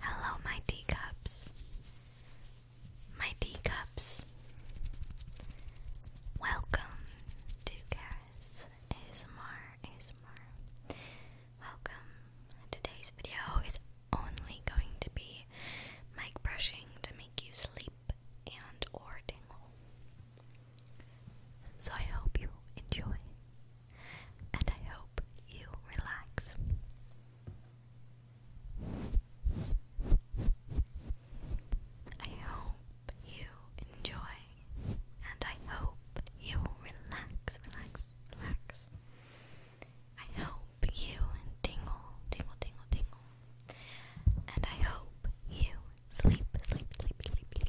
Hello, my teacups. My teacups. Welcome to Cass ASMR ASMR. Welcome. Today's video is only going to be mic brushing to make you sleep and or tingle. So I hope you enjoy and I hope you relax. I hope you enjoy, and I hope you relax, relax, relax. I hope you tingle, tingle, tingle, tingle, and I hope you sleep, sleep, sleep, sleep,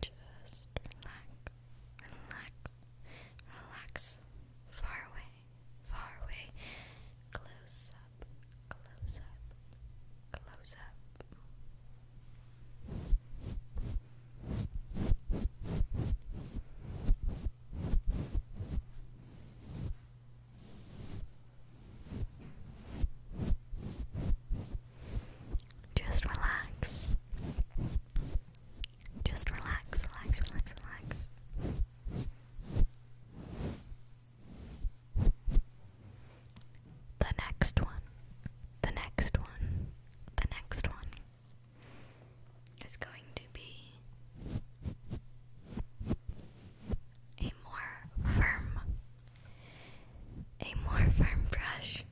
Just relax, relax, relax. Far away, far away. Close up, close up, close up. Just relax. Just relax, relax, relax, relax. The next one, the next one, the next one is going to be a more firm, a more firm brush.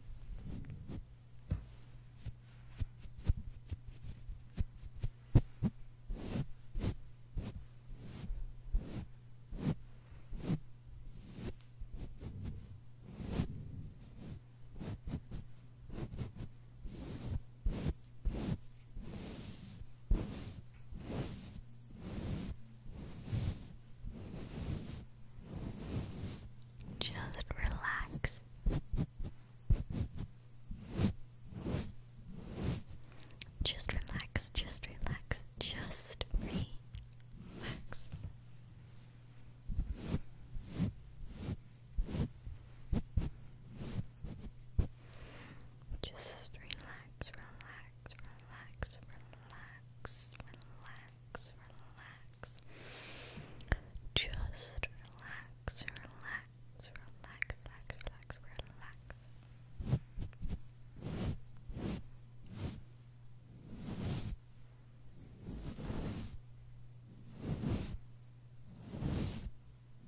Just relax. Just relax, just relax, just relax. Just relax, relax, relax, relax, relax, relax. Just relax, relax, relax, relax, relax, relax.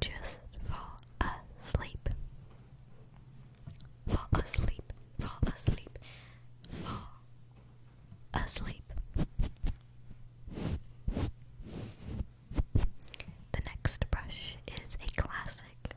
Just fall asleep. Fall asleep. Fall asleep. Fall asleep. The next brush is a classic.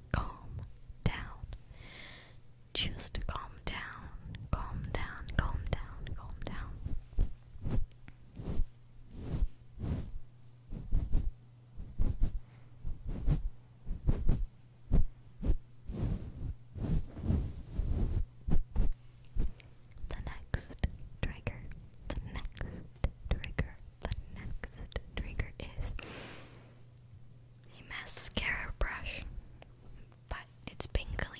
calm down. Just calm down, calm down, calm down, calm down. The next trigger, the next trigger the next trigger is a mascara brush, but it's been cleaned.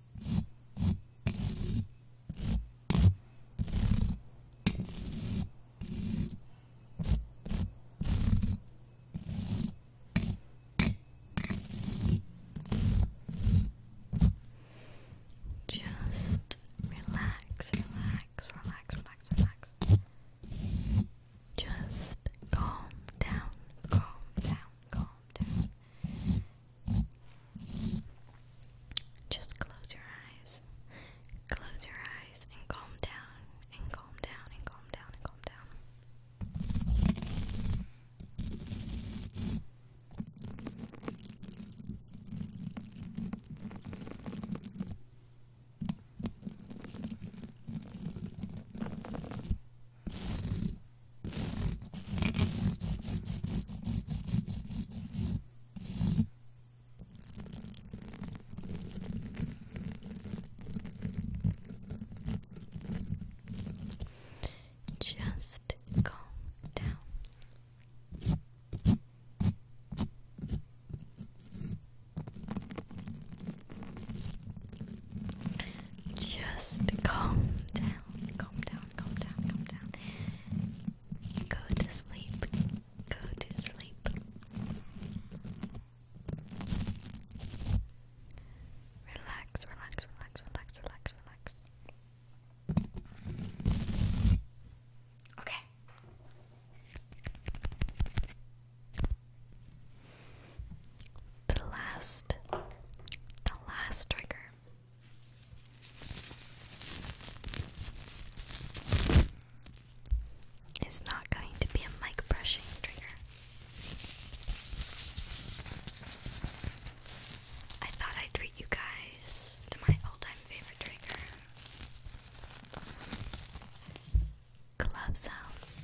Just relax, relax, relax, relax, relax. Just calm down, calm down, calm calm down. Just close your eyes. Close your eyes and calm down, and calm down, and calm down, and calm down. Good. Just calm down. Just calm down, calm down, calm down, calm down. Go to sleep, go to sleep. Relax, relax, relax, relax, relax, relax. Okay. The last, the last trigger is not going to be a mic brushing trigger. I thought I'd treat you guys to my all time favorite trigger club sounds.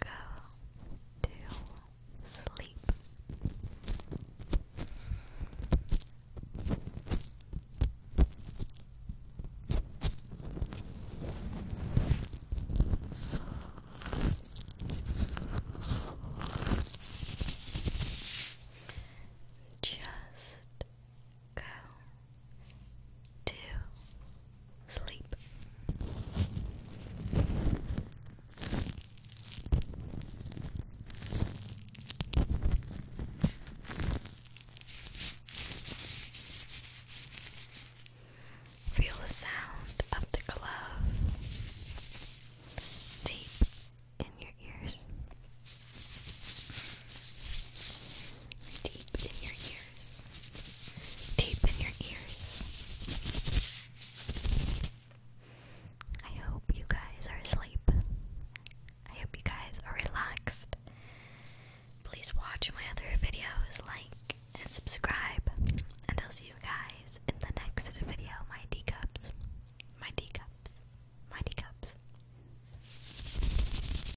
go to sleep. Just go to sleep. Feel the sound of the glove deep in your ears, deep in your ears deep in your ears. I hope you guys are asleep. I hope you guys are relaxed. Please watch my other videos, like and subscribe, and I'll see you guys in the next video. My decups, my decups, my decups.